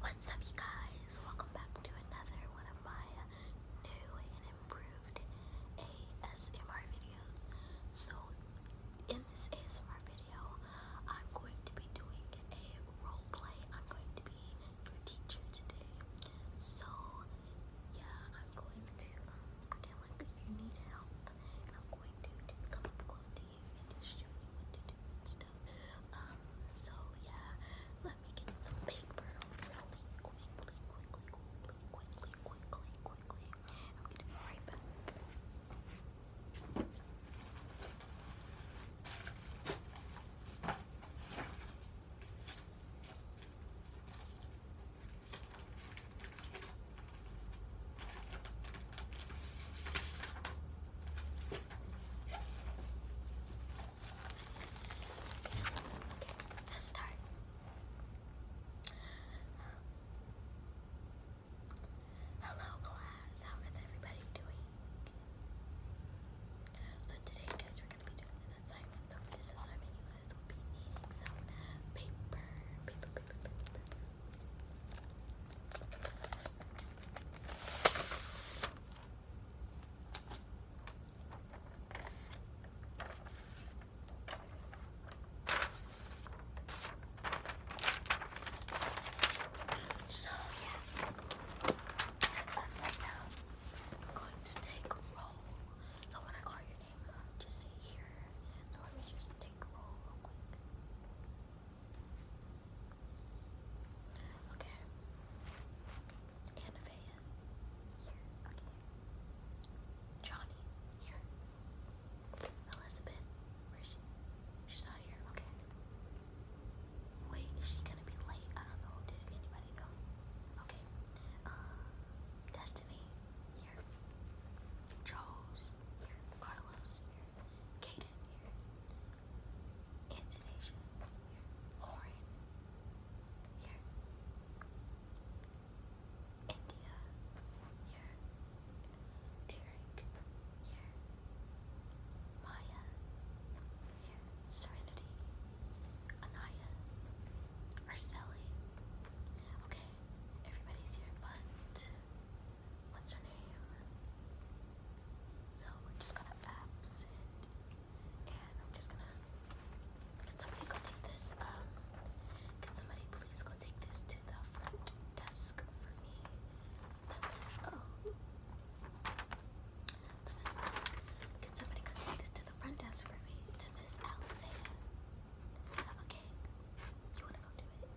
What's up you guys? Welcome back to another one of my new and improved ASMR videos. So in this ASMR video, I'm going to be doing a role play. I'm going to be your teacher today. So yeah, I'm going to um, pretend like you need help I'm going to just come up close to you and it's so yeah, let me get some paper really quickly, quickly, quickly, quickly, quickly, I'm going right back. Okay, let's start. Hello class, how is everybody doing? So today guys we're gonna be doing an assignment. So for this assignment you guys will be needing some paper. Paper, paper, paper, so yeah, um, right now going to take roll. So when I call your name, um, just here. So let me just take roll real quick. Okay. Anavea. Here. Okay. Johnny. Here. Elizabeth. Where's she? She's not here. Okay. Wait, is she gonna be late? I don't know. Did anybody know? Okay. Uh, Destiny. Here. Charles. Here. Carlos. Here. Kaden here. Antonasia here. Lauren here. India here. Derek here. Maya here. Serenity. Anaya. Arceli. Okay, everybody's here but what's her name? So we're just gonna abs and I'm just gonna. Can somebody go take this? Um, can somebody please go take this to the front desk for me? To Miss O. Can somebody go take this to the front desk for me? To Miss Alexia. Okay. You wanna go do it?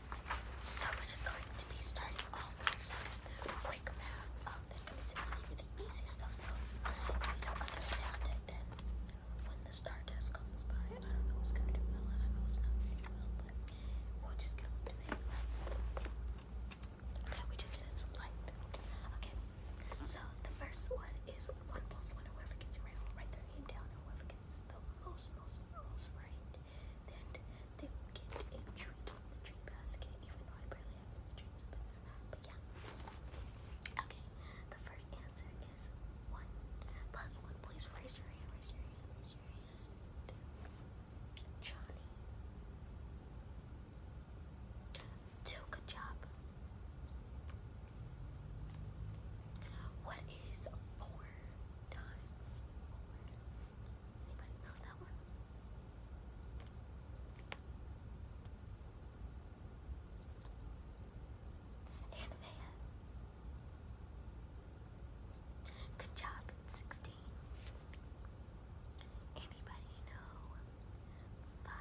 So we're just going to be starting off with some quick math. Um, there's going to be some really, really easy stuff, so if you don't understand it, then when the star test comes by, I don't know what's going to do well, and I know it's not going to do well, but we'll just get on with it. Okay, we just did some light. Okay, so the first one is 1 plus 1, whoever gets it right will write their name down, and whoever gets the most, most, most right a treat from the treat basket, Okay, the first answer is one plus one. Please raise your hand, raise your hand, raise your hand. Johnny. Two, good job. What is four? times Anybody know that one? Anivea. Good job at 16. Anybody know 5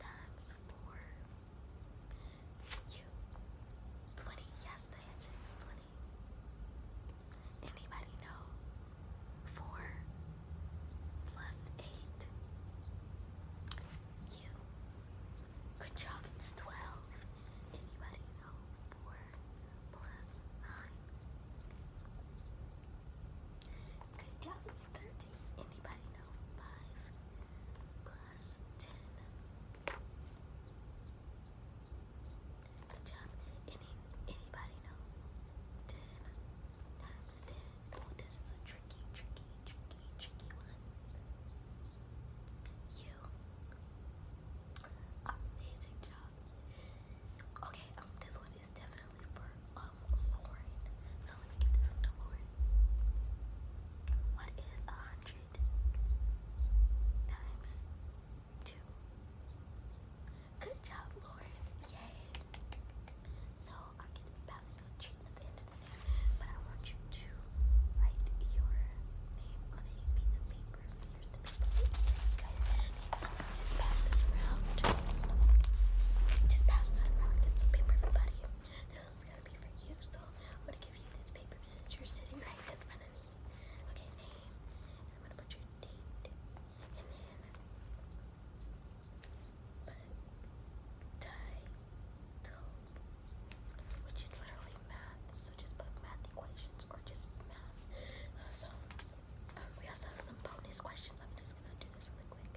times 4? You. 20. Yes, the answer is 20. Anybody know? Four plus eight. You. Good job, it's twelve. Anybody know? Four plus nine. Good job, it's thirteen. Anybody know? Five plus ten. Good job. Any anybody know? Oh, this is a tricky, tricky, tricky, tricky one. You. Amazing job. Okay, um, this one is definitely for um Lauren. So let me give this one to Lauren. What is a hundred? times two. Good job, Lauren. Yay. So I'm going to be passing out treats at the end of the day, but I want you to write your name on a piece of paper. You guys, just pass this around. Just pass that around. Get some paper, everybody. This one's going to be for you, so I'm going to give you this paper since you're sitting right in front of me. Okay, name. I'm gonna put your date. And then title. Which is literally math. So just put math equations or just math. So we also have some bonus questions. I'm just gonna do this really quick.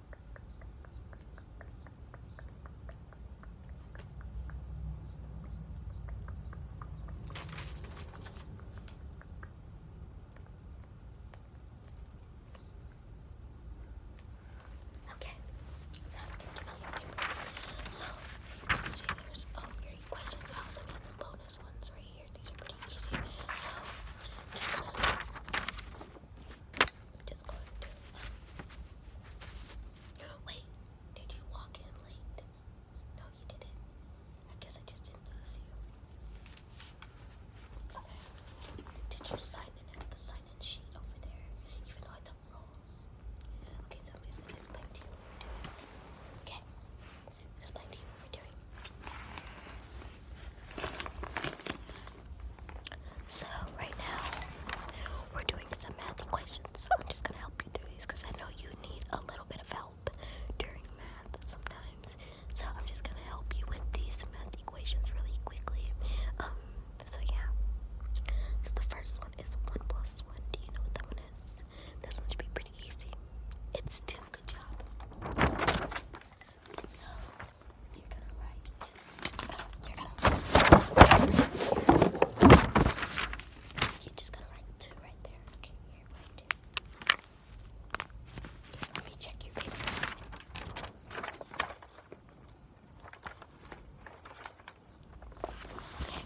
Okay, so you can see there's um your questions. I also need some bonus ones right here. These are pretty easy. So Wait, did you walk in late? No, you didn't. I guess I just didn't notice you. Did you sign in at the sign in sheet over there? Even though I don't Okay, so I'm just gonna explain to you Okay? Explain to you what we're doing. So right now we're doing some math equations. I'm just gonna help you through these because I know you need a little bit of help during math sometimes. So I'm just gonna help you with these math equations really quickly. Um. So yeah. So the first one is one plus one. Do you know what that one is? This one should be pretty easy. It's two. Good job. So you're gonna write. you're gonna. you just gonna write two right there. Okay, here, let me check your Okay.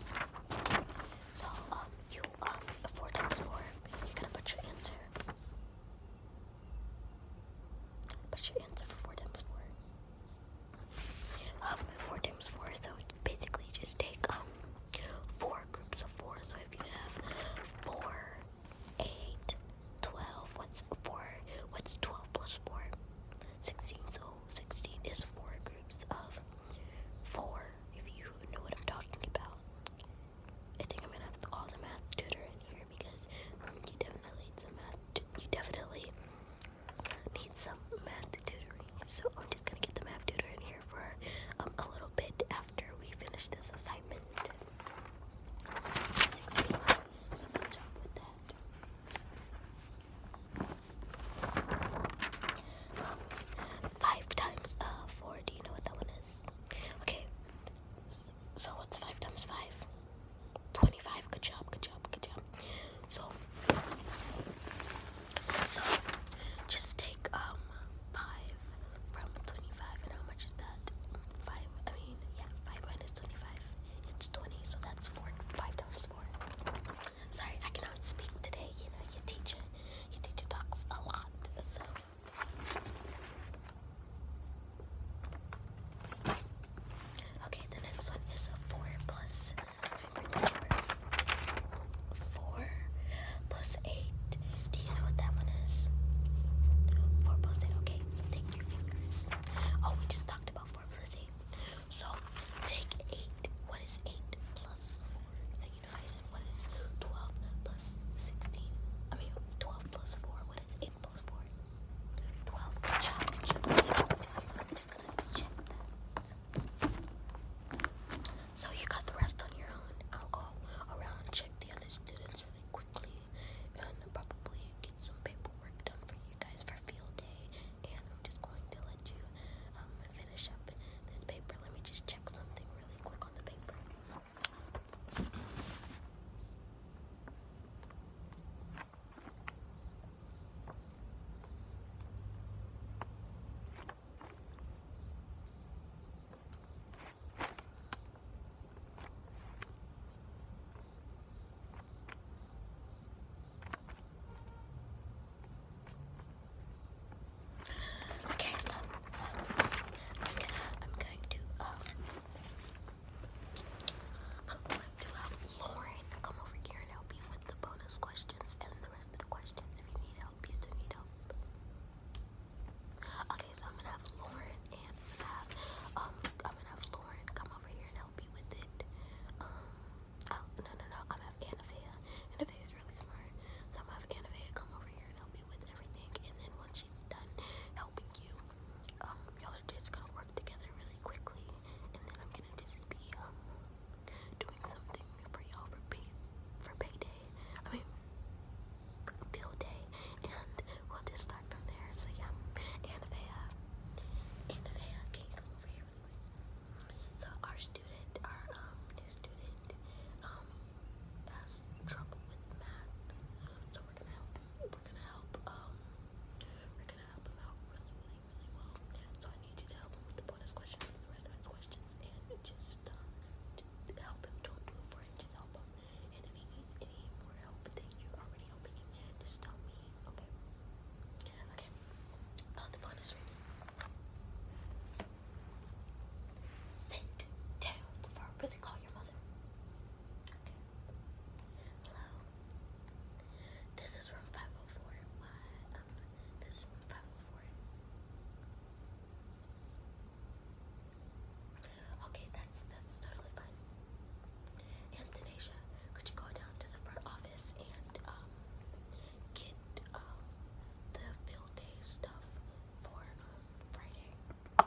So, um, you, um, four times four, you're gonna put your answer. That should answer for 4 times 4. Um, 4 times 4, so basically just take, um, 4 groups of 4. So if you have 4, 8, 12, what's 4, what's 12 plus 4? 16, so 16 is 4 groups of 4, if you know what I'm talking about. I think I'm gonna have to call the math tutor in here because you definitely need some math. You definitely need some math tutoring. So I'm just gonna get the math tutor in here for um, a little bit after we finish this assignment. 16 good job with that. Um, five times uh, four. Do you know what that one is? Okay, so what's 5 times 5? 25. Good job, good job, good job. So, so just take um 5 from 25 and how much is that? 5, I mean, yeah, 5 minus 25. It's 20, so that's 4, $5 times 4. Sorry, I cannot speak today, you know, your teacher, your teacher talks a lot, so. Okay, the next one is a four four plus eight. Do you know what that one is? Four plus eight. Okay, take your fingers. Oh, we just talked about four plus eight. So take eight. What is eight plus four? So you know what is twelve plus sixteen? I mean twelve plus four. What is eight I'm just gonna check So you got the rest on your own. I'll go around check the other students really quickly and probably get some paperwork done for you guys for field day. And I'm just going to let you um, finish up this paper. Let me just check something really quick on the paper. Okay, so um, I'm gonna I'm going to um I'm going to have Lauren come over here and help you with the bonus questions and the rest of the questions. If you need help, you still need help. Okay, so I'm gonna have Lauren and I'm gonna have um I'm gonna have Lauren come over here and help you with it. Um oh, no no no I'm gonna have Anafea. Anafea is really smart. So I'm gonna have come over here and help you with everything and then once she's done, helping you. Um, y'all are just gonna work together really quickly, and then I'm gonna just be um, doing something for y'all for pay for payday. I mean, bill day, and we'll just start from there. So yeah, Anavea, uh, Anavea, uh, can you come over here So our student, our um, new student, has trouble with math. So we're gonna help We're gonna help um, we're gonna help him out really, really, really well. So I need you to help him with the bonus questions and the rest of his questions and just uh, help him. Don't do it for him, just help him. And if he needs any more help than you're already helping just tell me, okay. Okay. Oh the bonus reading. Sit before I really call your mother. Hello. This is room 504. Um, this is room 504. Okay, that's that's totally fine. And Tanisha, could you go down to the front office and um get um the field day stuff for um, Friday?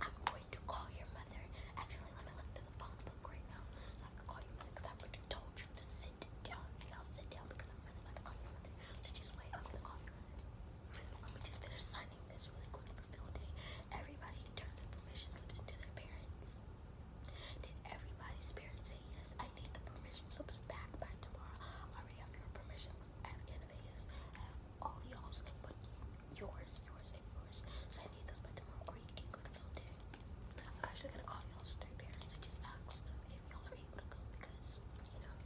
I'm going to call your mother. Actually, let me look through the phone book right now I can call your mother because I already told you to sit down. sit down because I'm really to call your mother. So just wait, I'm going to Let me just finish signing this really quick Everybody turn their permission slips into their parents. Did everybody's parents say yes? I need the permission slips back by tomorrow. I already have your permission slip at Innovators. I have all y'all's, but yours, yours, and yours. So I need those by tomorrow, or you can go to field day. I'm actually gonna call y'all's three parents I just ask if y'all are able to go because, you know.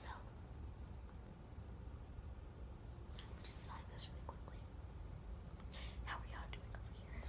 So, let me just sign this really quickly. How are y'all doing over here?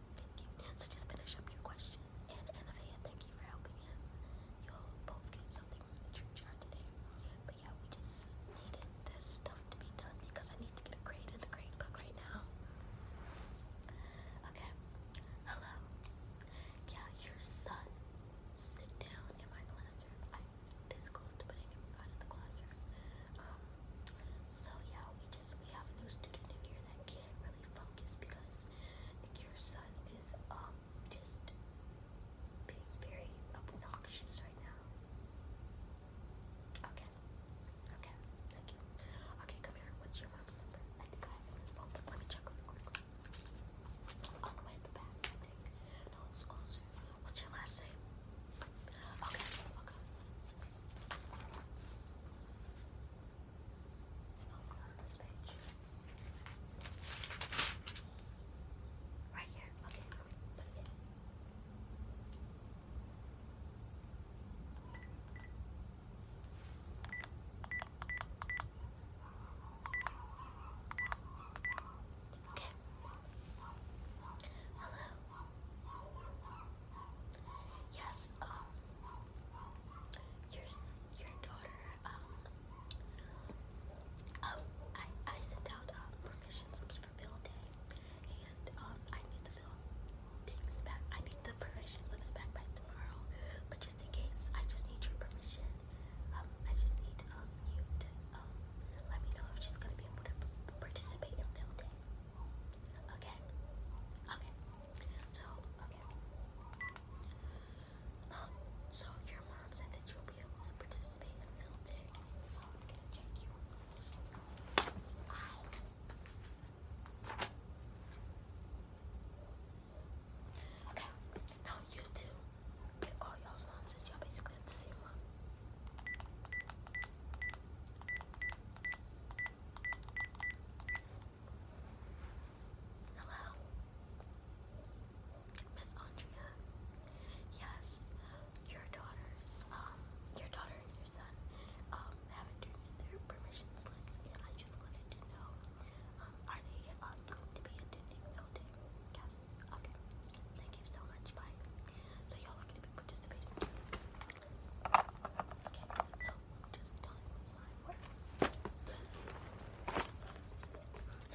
Thank you. So just finish up your questions. And Anavia, thank you for helping him. You'll both get something from the church yard today. But yeah, we just needed this stuff to be done because I need to get a grade in the grade book right now. Okay. Hello. Yeah, your son. Sit down in my classroom. this close to putting him out of the classroom. Um, so yeah, we have a new student in here that can't really focus because your son is um just being very obnoxious right now. Okay. Okay. Thank you. Okay, come here. What's your mom's number? Let me check real the way at the back, No, it's closer. What's your last name? okay. Right here. Okay, put it in. Okay. Hello. Yes, um, your your daughter, um, um, I I sent out um, permission slips for field day, and um, I need the field things back. I need the permission slips back by tomorrow, but just in case, I just need your permission. Um, I just need um you to um let me know if she's gonna be able to participate in field day. Okay. Okay. So, okay. Um, so your mom said that you'll be able to participate until day. So I'm gonna check you Okay. Now you two can call y'all's mom y'all basically have the same mom. Hello? Miss Andrea? Yes, your daughters, um, your daughter and your son, um, haven't their permission slips, I just wanted to know, um, are they, going to be attending voting? Yes, okay. Thank you so much, So y'all are going to be participating Okay,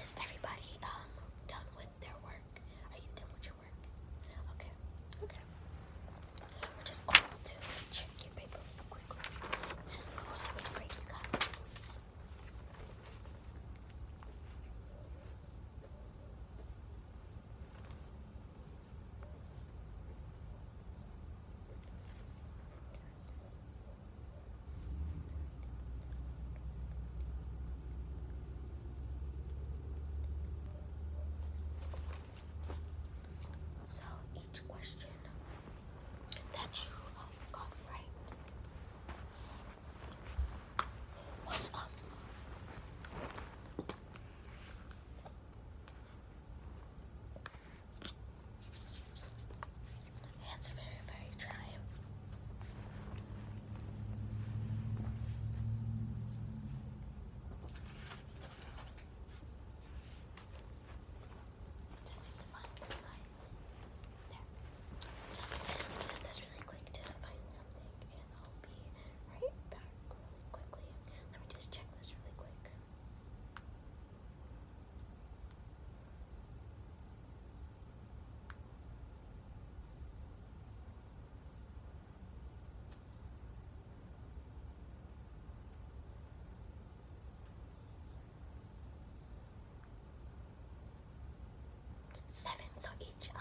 Is everybody um, done with their work? Are you done with your work? Okay, okay. We're just going to check your paper quickly, and what grades you got. So each question that you um, got right was um Hands are very, very dry. Just need to find the There. So i really quick to find something I'll be right back really quickly. Let me just check this really quick. Seven, so each um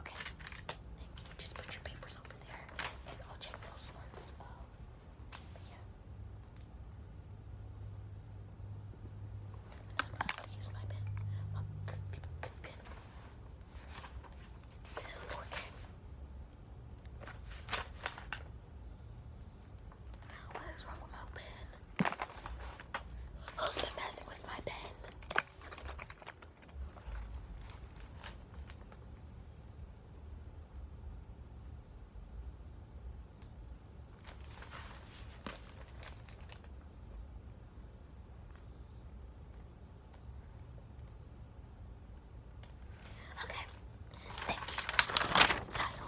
Okay. Just put your papers over there. And I'll check those ones. Um, yeah. I'm gonna use my pen. My pen. Okay. what is wrong with my pen? Who's been messing with my pen? Okay, thank you. Title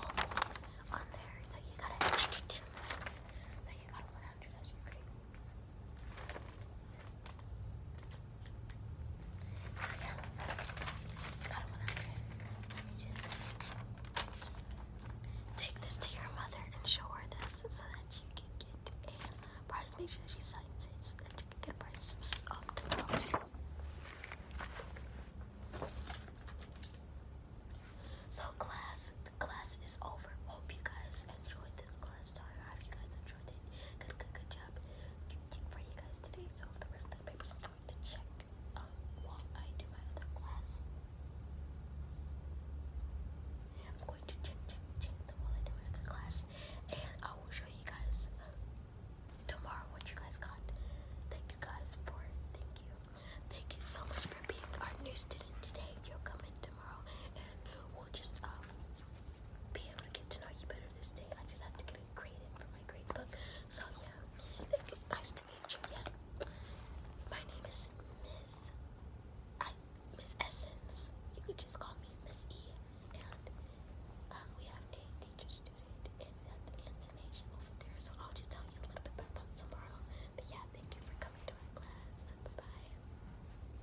on there. So you got an extra 10 So you got 100 as you could. So take this to your mother and show her this so that you can get a prize. Make sure she signs it so that you can get a prize um, So class, class is over. Hope you guys enjoyed this class I hope you guys enjoyed it. Good, good, good job for you guys today. So the rest of the papers I'm going to check um, while I do my other class. I'm going to check, check, check them while I do my other class. And I will show you guys um, tomorrow what you guys got. Thank you guys for Thank you. Thank you so much for being our new student today. You'll come in tomorrow and we'll just, um, be able to get to know you better this day. I just have to get a grade in for my grade book. So yeah, thank you. Nice to meet you. Yeah. My name is Miss I Miss Essence. You could just call me Miss E. And um, we have a teacher student and that's the information over there. So I'll just tell you a little bit about that tomorrow. But yeah, thank you for coming to our class. Bye bye.